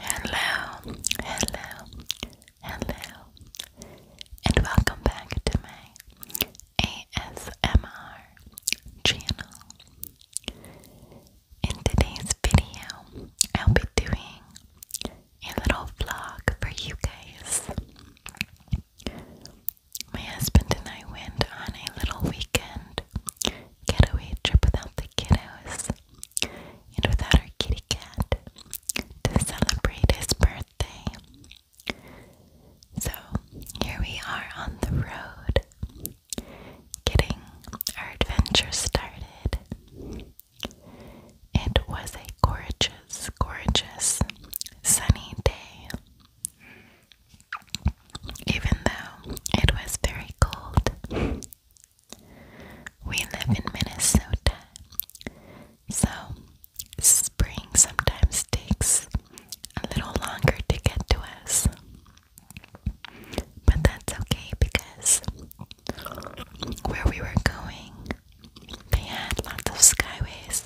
Hello, hello, hello, and welcome back to my ASMR channel. In today's video, I'll be doing a little vlog for you guys. My husband and I went on a little weekend out. Getaway trip without the kiddos and without our kitty cat to celebrate his birthday. So here we are on the road getting our adventure started. It was a gorgeous, gorgeous sunny day. Even though it was very cold, we live in Minnesota, so spring sometimes takes a little longer to get to us. But that's okay because where we were going, they had lots of skyways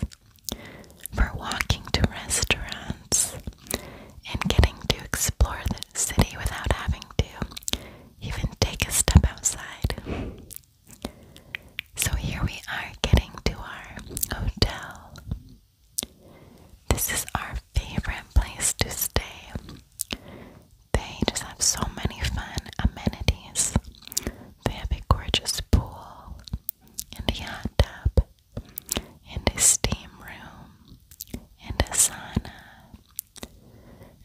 for walking to restaurants and getting to explore the city without having to even take a step outside. So here we are getting to our hotel. This is our favorite place to stay. They just have so many fun amenities. They have a gorgeous pool and a hot tub and a steam room and a sauna,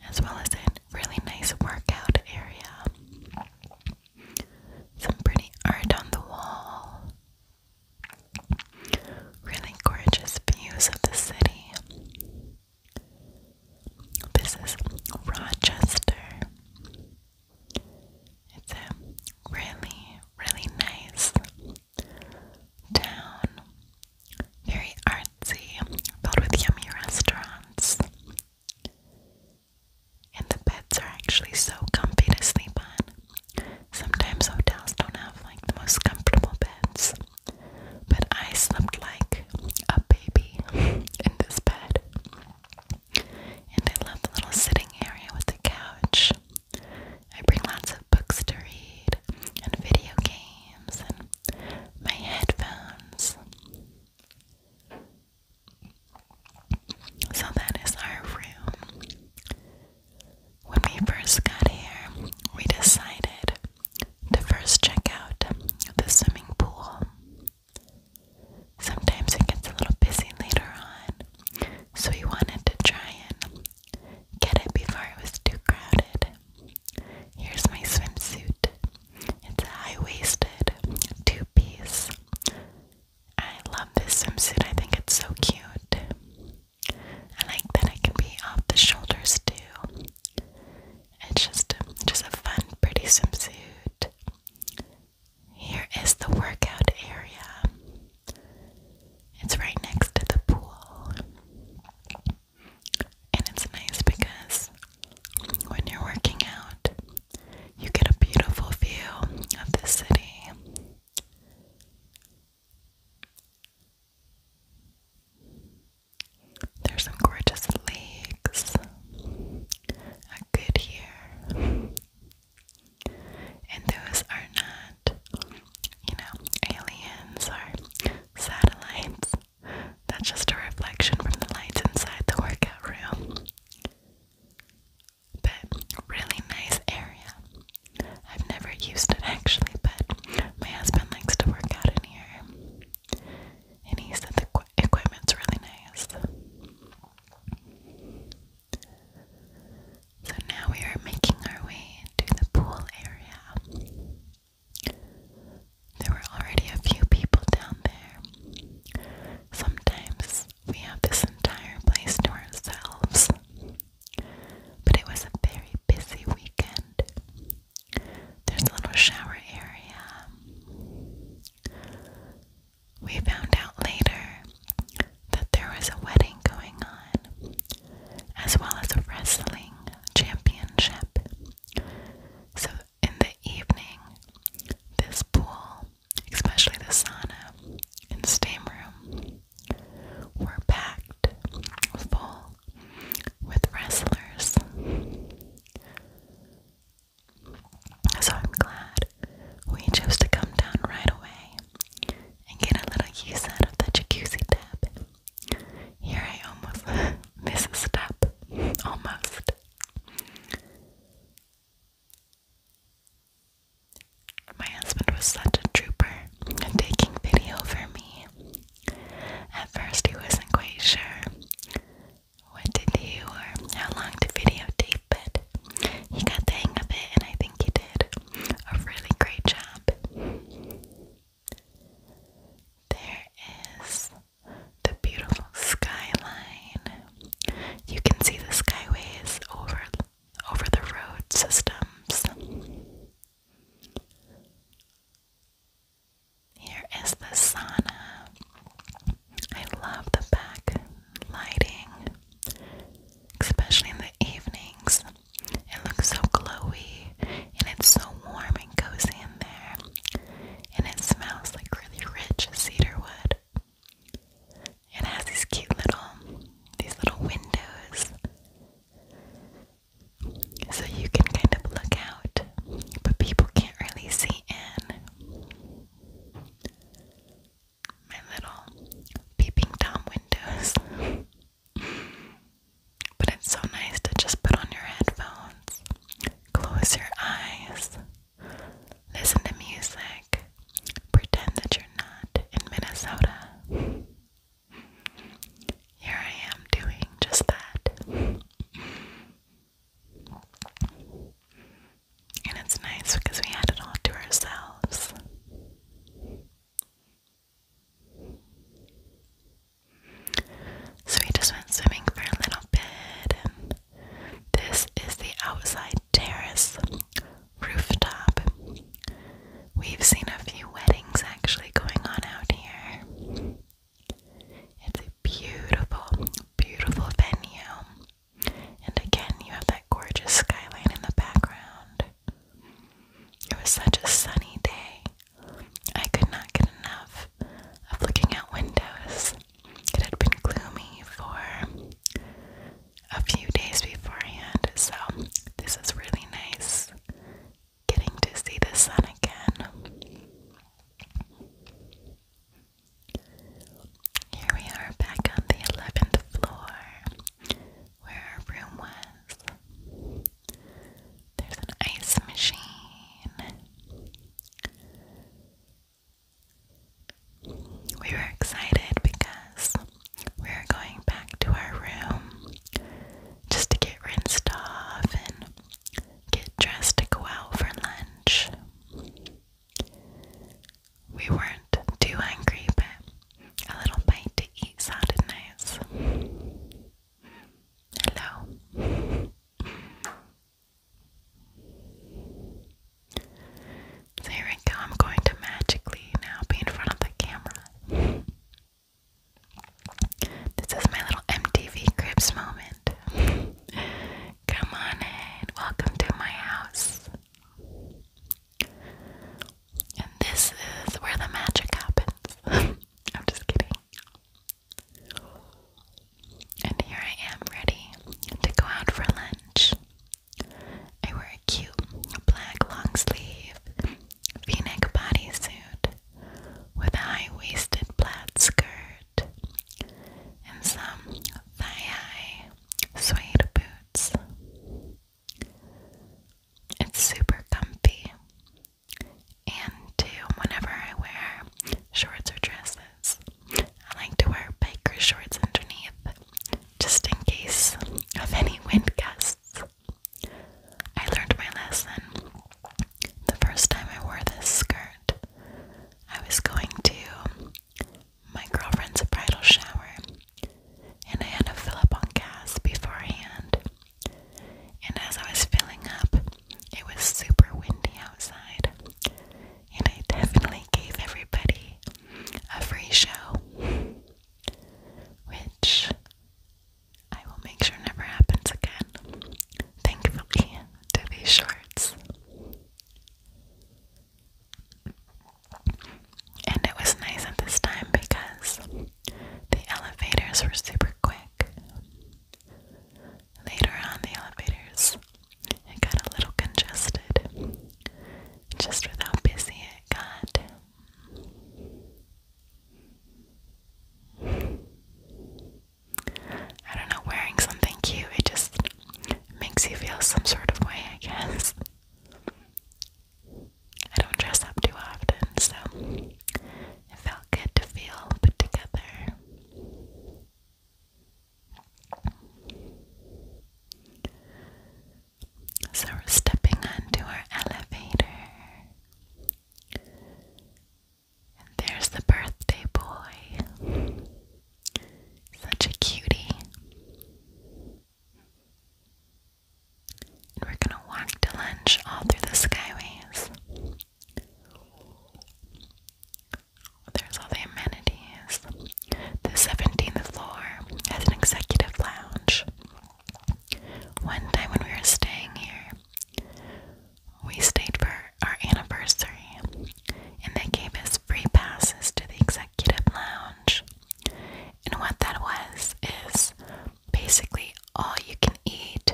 as well as a really nice workout area. Some pretty art on the wall. Really gorgeous views of the city. This is Rochester. It's a really, really nice town very artsy, filled with yummy restaurants. And the beds are actually so comfy to sleep on. Sometimes hotels don't have like the most comfortable beds, but I slept like a baby in this bed. And I love the little sitting area with the couch I bring lots of books to read and video games and my headphones. So that is our room. When we first got here, we decided to first check out the swimming pool. Sometimes it gets a little busy later on, so we wanted to try and Get it before it was too crowded. Here's my swimsuit. It's high waisted, two piece. I love this swimsuit, I think it's so cute. I like that it can be off the shoulders too. It's just, just a fun, pretty swimsuit. Here is the workout area. It's right next to the pool. And it's nice because when you're working out, you get a beautiful view of the city. There's some gorgeous lakes. A good year. And those are not you know, aliens or satellites. That's just a reflection from the lights inside the workout room. But really nice area. I've never used it actually, but my husband likes to work out in here. And he said the equipment's really nice. So now we are making our way into the pool area. There were already a few people down there. Sometimes we have this entire place to ourselves. But it was a very busy weekend. There's a little shower area. We found out later that there was a wedding going on as well as a wrestling championship. So, in the evening, this pool, especially the sauna and steam room, were packed full with wrestlers. So, I'm glad we chose to come down right away and get a little use out of the jacuzzi tub. Here I almost missed a step. Almost. My husband was such a trooper and taking video for me. At first, he wasn't quite sure what to do or how long to videotape, but he got the hang of it, and I think he did a really great job. There is the beautiful skyline. You can see the skyways over over the road systems. Here is the sauna. I love the back lighting, especially in the evenings. It looks so glowy and it's so warm and cozy in there. And it smells like really rich cedar wood. It has these cute little these little windows. So you can kind of look out, but people can't really see in. My little peeping tom windows. But it's so nice to just put on your headphones, close your eyes, listen to music, pretend that you're not in Minnesota. Here I am doing just that. And it's nice because we had it all to ourselves. So we just went swimming for a little bit, and this is the outside terrace rooftop. We've seen a few weddings actually going on out here. It's a beautiful, beautiful venue. And again, you have that gorgeous skyline in the background. It was such a sunny day. I could not get enough of looking out windows. It had been gloomy for a few days beforehand, so this is really nice getting to see the sun again. Here we are back on the 11th floor where our room was. There's an ice machine. We were excited because we were going back to our room just to get rinsed off and get dressed to go out for lunch. We weren't too angry, but a little bite to eat sounded nice. Hello. So we go. I'm going to magically now be in front of the camera. This is my little MTV Cribs moment. Come on in. Welcome to my house. And this is where the magic happens. I'm just kidding. And here I am ready to go out for lunch. I wear a cute black long sleeve v neck bodysuit with a high waisted plaid skirt and some thigh high suede boots. It's super comfy. And too, whenever I wear shorts or dresses, I like to wear biker shorts underneath just in case of any wind gusts. I learned my lesson the first time I wore this skirt. I was going to my girlfriend's bridal shower and I had to fill up on gas beforehand. And as I was filling up, it was super windy outside, and I definitely gave everybody a free show, which I will make sure never happens again. Thankfully, to these shorts. And it was nice at this time because the elevators were super quick. Later on, the elevators it got a little congested, just with how busy it got. I don't know, wearing something cute, it just makes you feel some sort of way, I guess. I don't dress up too often, so it felt good to feel put together. So we're stepping onto our elevator. And there's the birthday boy. Such a cutie we're gonna walk to lunch all through the skyways. There's all the amenities. The 17th floor has an executive lounge. One time when we were staying here, we stayed for our anniversary, and they gave us free passes to the executive lounge. And what that was is basically all you can eat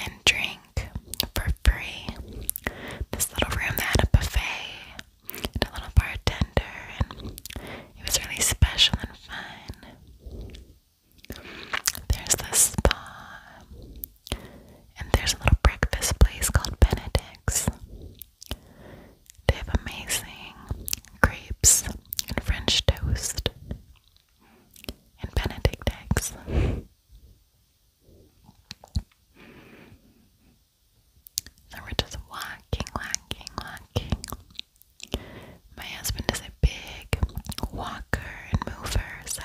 and drink for free. This little room had a buffet and a little bartender, and it was really special and fun. There's the spa, and there's a little breakfast place called Benedict's. They have amazing crepes and French toast and Benedict eggs. so we're just walking, walking, walking. My husband is a big walker and mover, so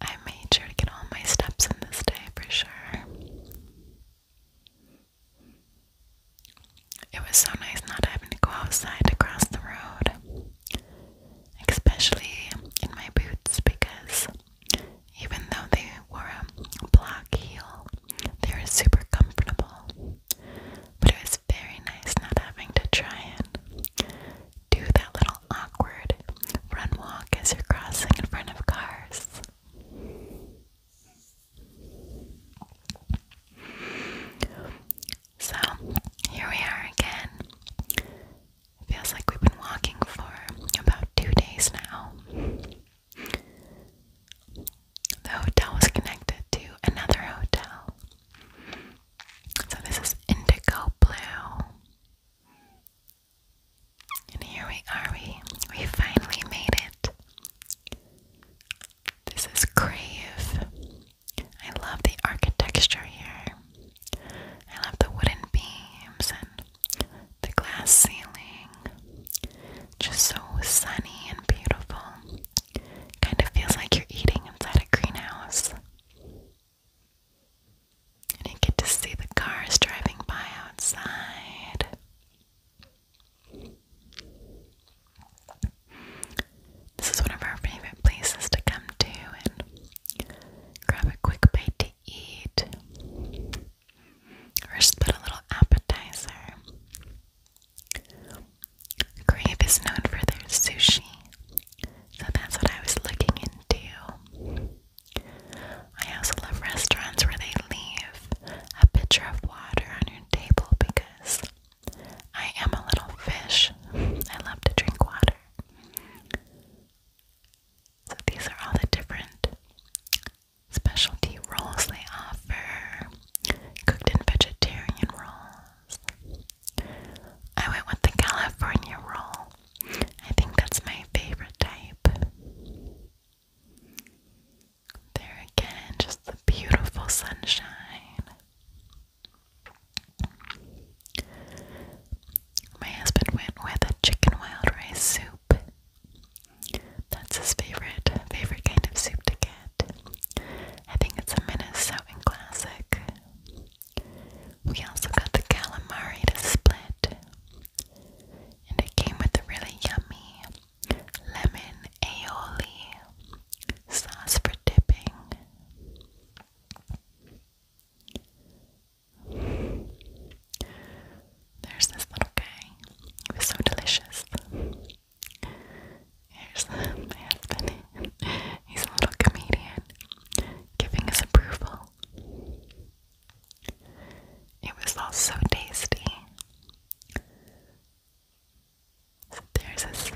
I made sure to get all my steps in this day for sure. It was so nice not having to go outside to cross the road, especially in my boots, because even though they were a block heel, they were super comfortable. But it was very nice not having to try and do that little awkward run walk as you're crossing in front of cars. So here we are again. feels like we've been walking for about two days now. The hotel was connected to another hotel. So this is Indigo Blue. And here we are, we, we finally made it. This is Crave. I love the architecture here. I love the wooden beams and the glass ceiling. Just so sunny and beautiful. Kind of feels like you're eating inside a greenhouse. And you get to see the cars driving by outside. This is one of our favorite places to come to and grab a quick bite to eat or just put a little appetizer. Crave is known for their sushi, so that's what I was looking into. I also love restaurants where they leave a pitcher of water on your table because I am a little fish. I love to drink water. So these are all the different specialty rolls they offer. Cooked and vegetarian rolls. I went with the California roll. I think that's my favorite type. There again, just the beautiful sunshine. My husband went with a chicken wild rice soup. That's his favorite, favorite kind of soup to get. I think it's a Minnesotan classic. We also got the calamari to split, and it came with a really yummy lemon aioli sauce for dipping. There's this little guy. He was so delicious. Here's my He's a little comedian giving his approval. It was all so tasty. There's this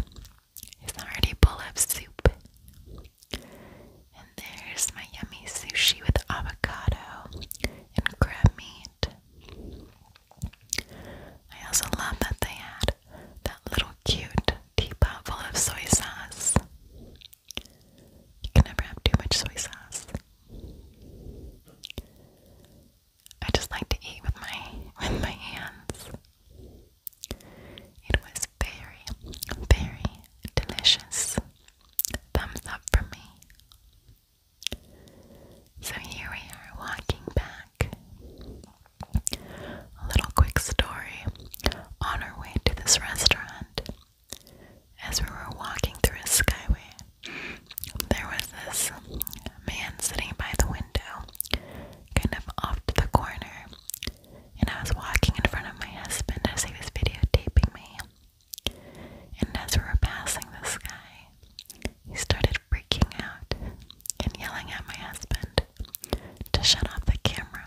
Israeli bowl of soup. And there's my yummy sushi with avocado and crab meat. I also love that they had that little cute teapot full of soy sauce. You can never have too much soy sauce. I just like to eat with my with my hands. It was very, very delicious. Thumbs up for me. So here we are walking back. A little quick story on our way to this restaurant. As we were walking through a skyway, there was this man sitting by the window kind of off to the corner, and I was walking in front of my husband as he was videotaping me. And as we were passing this guy, he started freaking out and yelling at my husband to shut off the camera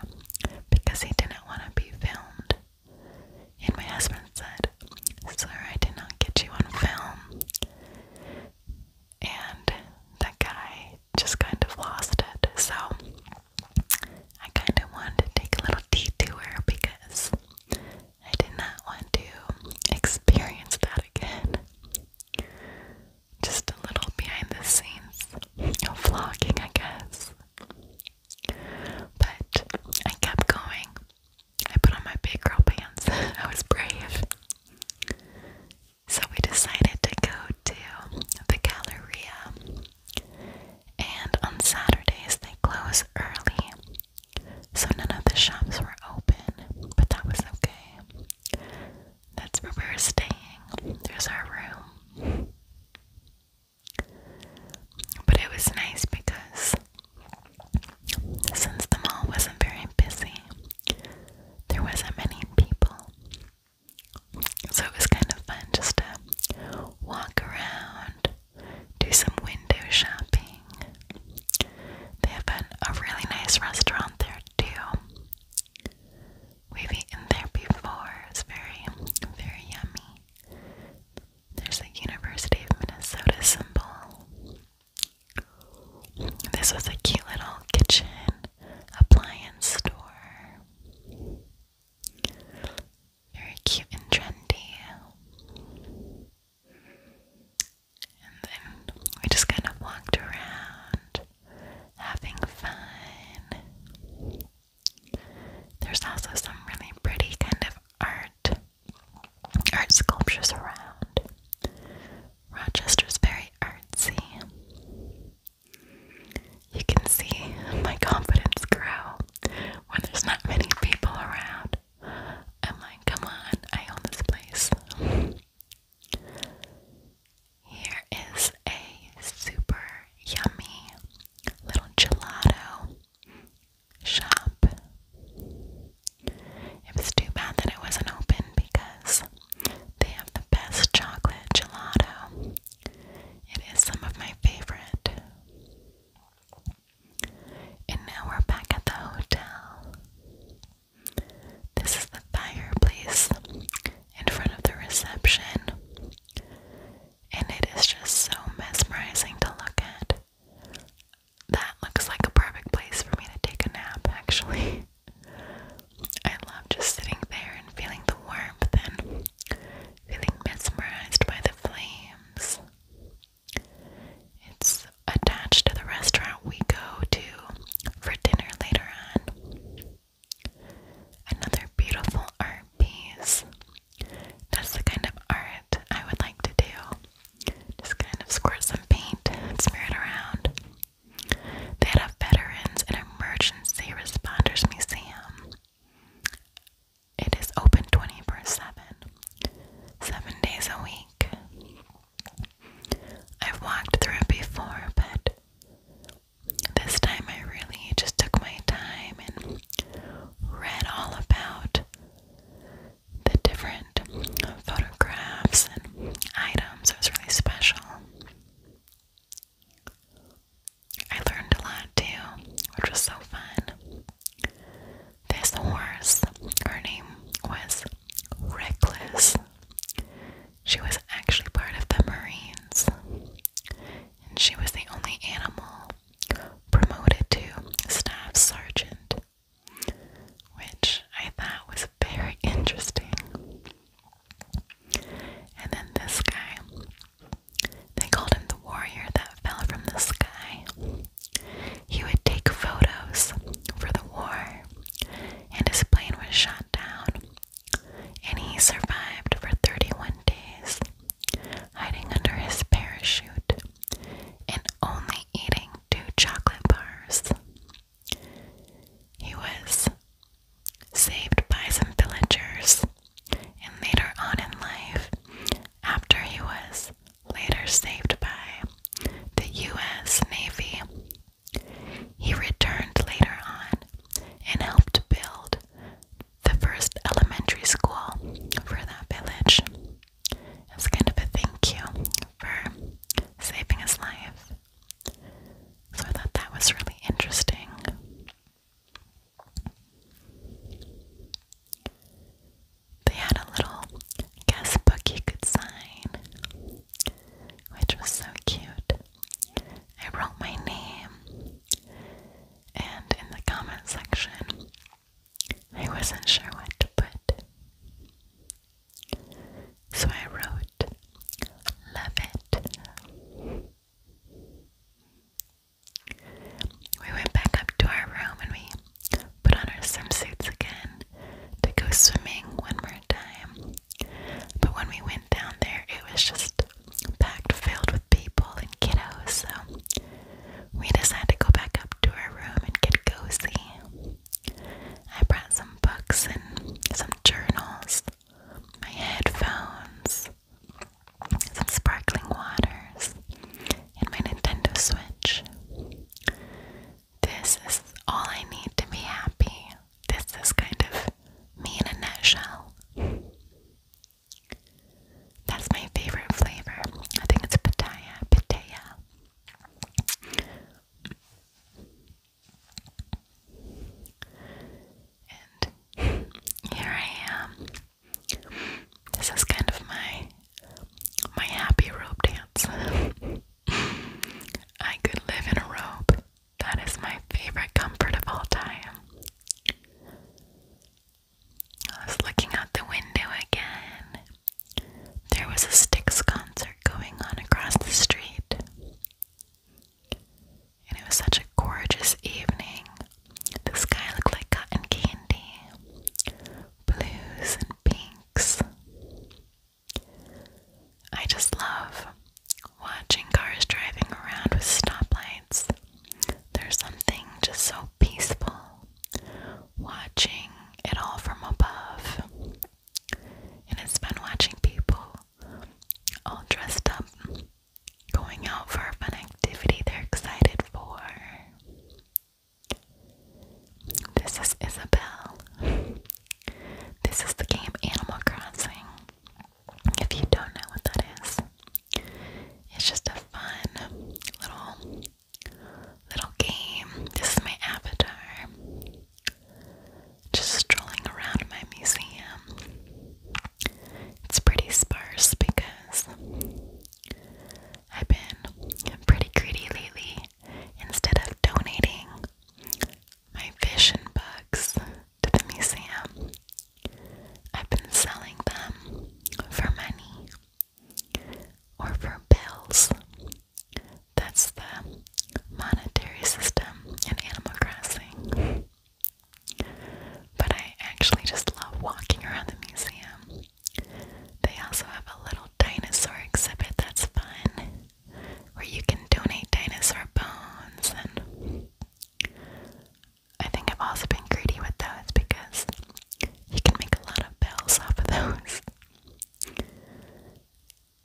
because he didn't want to be filmed. And my husband said, Sir, I did not get you on film and that guy just kind of lost it. So I kind of wanted to take a little detour because I did not want to experience that again. Just a little behind the scenes vlogging, I guess. But I kept going. I put on my big girl pants. I was brave. So we decided to go to the Galleria. And on Saturdays, they close early. So none of the shops were open, but that was okay. That's where we are staying. There's our room. But it was nice because since the mall wasn't very busy, there wasn't many people. So it was kind of fun just to walk around, do some window shopping. They have an, a really nice restaurant there too. We've eaten there before. It's very, very yummy. There's the University of Minnesota symbol. This was a cute little kitchen appliance store. Very cute and trendy. And then we just kind of walked around having fun. There's also some really pretty kind of art art sculptures around. Rochester's very artsy. You can see my confidence grow when there's not many people around. I'm like, come on, I own this place. Here is a super yummy little gelato shop. It was too bad that it wasn't open because they have the best chocolate gelato. It is some of my favorite. And now we're back at the hotel. This is the fireplace in front of the reception. And it is just so mesmerizing to look at that looks like a perfect place for me to take a nap, actually. I love just sitting there and feeling the warmth and feeling mesmerized by the flames. It's attached to the restaurant we go to for dinner later on. Another beautiful art piece. That's the kind of art I would like to do. Just kind of squirt some paint and smear it around. They had Veterans and Emergency Responders Museum. It is open 24 days a week. I've walked through it before, but this time I really just took my time and read all about the different photographs and items. It was really special. I learned a lot too, which was so fun. This horse, her name was Reckless. She was actually part of the Marines, and she was the only animal promoted to staff sergeant which I thought was very interesting. And then this guy, they called him the warrior that fell from the sky. He would take photos for the war, and his plane was shot down. And he survived for 31 days, hiding under his parachute and only eating two chocolate bars. He was saved by some villagers, and later on in life, after he was later saved by the U.S. Navy, he returned later on and helped build the first elementary school for that village. It was kind of a thank you for saving his life. So I thought that was really interesting. They had a little guest book you could sign, which was so cute. I wrote my name, and in the comment section, I wasn't sure what to put. So I wrote, Love it. We went back up to our room and we put on our swimsuits again to go swimming one more time. But when we went down there, it was just packed, filled with people and kiddos. So we decided to go back up to our room and get cozy. I brought some books and some journals, my headphones, some sparkling waters, and my Nintendo Switch. This is all I need to be happy. This is kind of me in a nutshell. That's my favorite flavor. I think it's pitaya, pitaya. And here I am. This is kind of my my happy rope dance. I could live in a robe. That is my favorite comfort of all time. I was looking out the window again there was a Styx concert going on across the street. And it was such a gorgeous evening. The sky looked like cotton candy, blues and pinks. I just love watching cars driving around with stoplights. There's something just so peaceful watching it all from above. And it's fun watching people all dressed up going out for a fun activity they're excited for. This is Isabel. This is the game Animal Crossing. If you don't know what that is, it's just a fun little little game. This is my avatar. Just strolling around my museum. It's pretty sparse because I've been pretty greedy lately. Instead of donating my fish and bugs to the museum, I've been selling them for money or for bells. That's the monetary system in Animal Crossing. But I actually just love walking around the museum. They also have a little dinosaur exhibit that's fun, where you can donate dinosaur bones. And I think I've also been greedy with those because you can make a lot of bells off of those.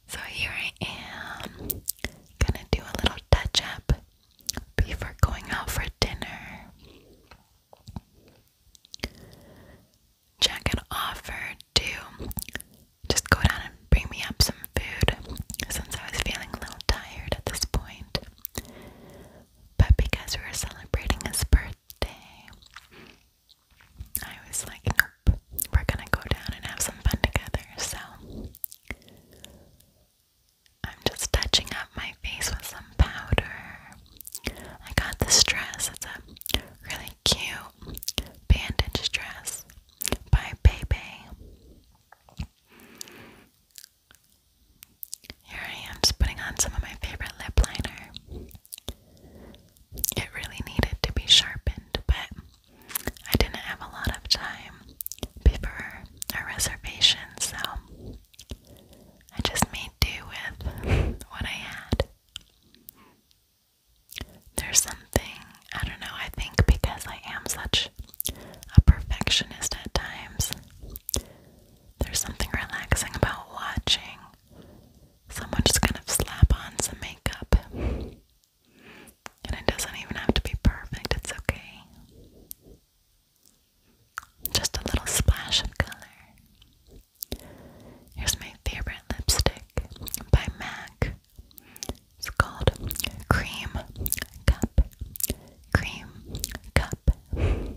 So here I am, gonna do a little touch up before going out for dinner. Jack had offered to just go down and bring me up some food since I was feeling a little tired at this point. But because we were celebrating his birthday, I was like, nope, we're gonna go down and have some fun together. So I'm just touching up my face with some powder. I got this dress, it's a really cute bandage dress by Bebe. Here I am, just putting on some of my favorite lip liner. It really needed to be sharpened, but I didn't have a lot of time before our reservation, so I just made do with what I had. There's something, I don't know, I think because I am such a perfectionist at times, there's something relaxing about watching Someone just kind of slap on some makeup. And it doesn't even have to be perfect, it's okay. Just a little splash of color. Here's my favorite lipstick by MAC. It's called Cream Cup. Cream Cup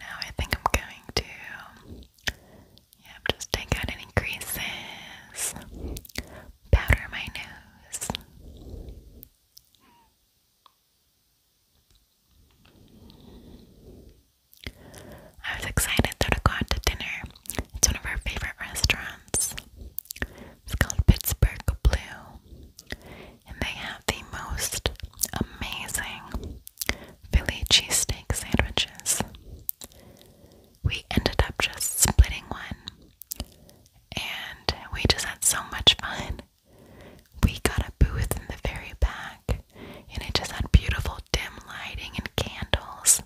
now I think I'm going to just take out any creases, powder my nose. I was excited that I got to dinner. It's one of our favorite restaurants. It's called Pittsburgh Blue. And they have the most amazing Philly cheesesteak sandwiches. We ended up just splitting one, and we just had so much fun. We got a booth in the very back, and it just had beautiful dim lighting and candles.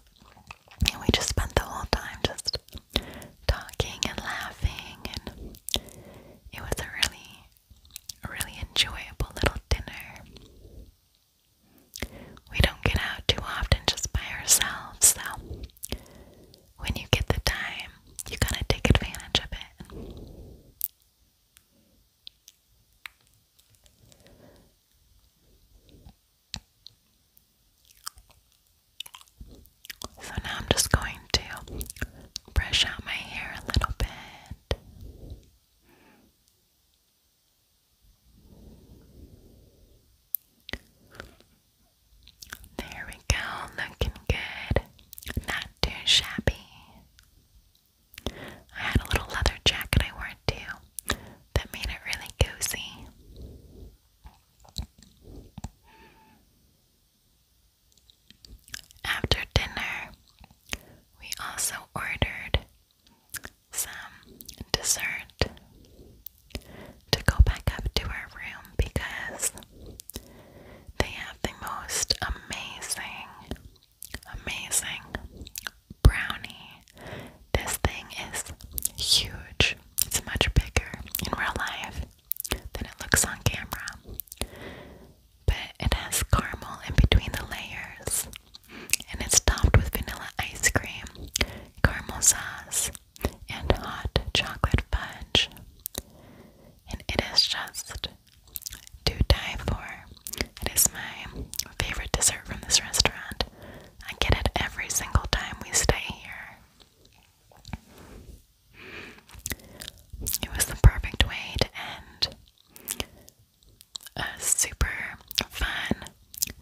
And we just spent the whole time just talking and laughing, and it was a really, really enjoyable little dinner. We don't get out too often just by ourselves, so when you get the time, you gotta take advantage of it. So now I'm just going to brush out my hair a little bit. There we go, looking good. Not too shabby. I had a little leather jacket I wore too that made it really cozy. After dinner, we also ordered some dessert to go back up to our room because they have the most amazing, amazing brownie. This thing is huge, it's much bigger in real life than it looks on camera. But it has caramel in between the layers, and it's topped with vanilla ice cream, caramel sauce, and hot chocolate fudge. And it is just to die for. It is my favorite dessert from this restaurant. I get it every single time we stay here. It was the perfect way to end a super fun,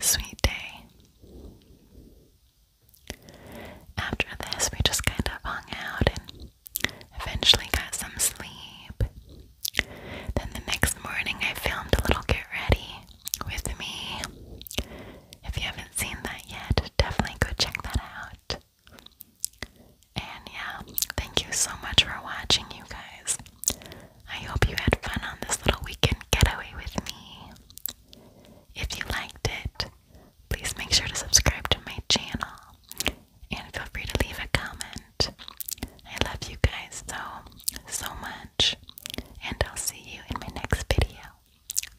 sweet day. After this, we just kind of hung out and eventually got some sleep. Then the next morning, I filmed a little get ready with me. If you haven't seen that yet, definitely go check that out. And yeah, thank you so much for watching, you guys. I hope you had fun on this little weekend getaway with me. If you liked it, please make sure to subscribe to my channel and feel free to leave a comment. I love you guys so, so much, and I'll see you in my next video. Bye.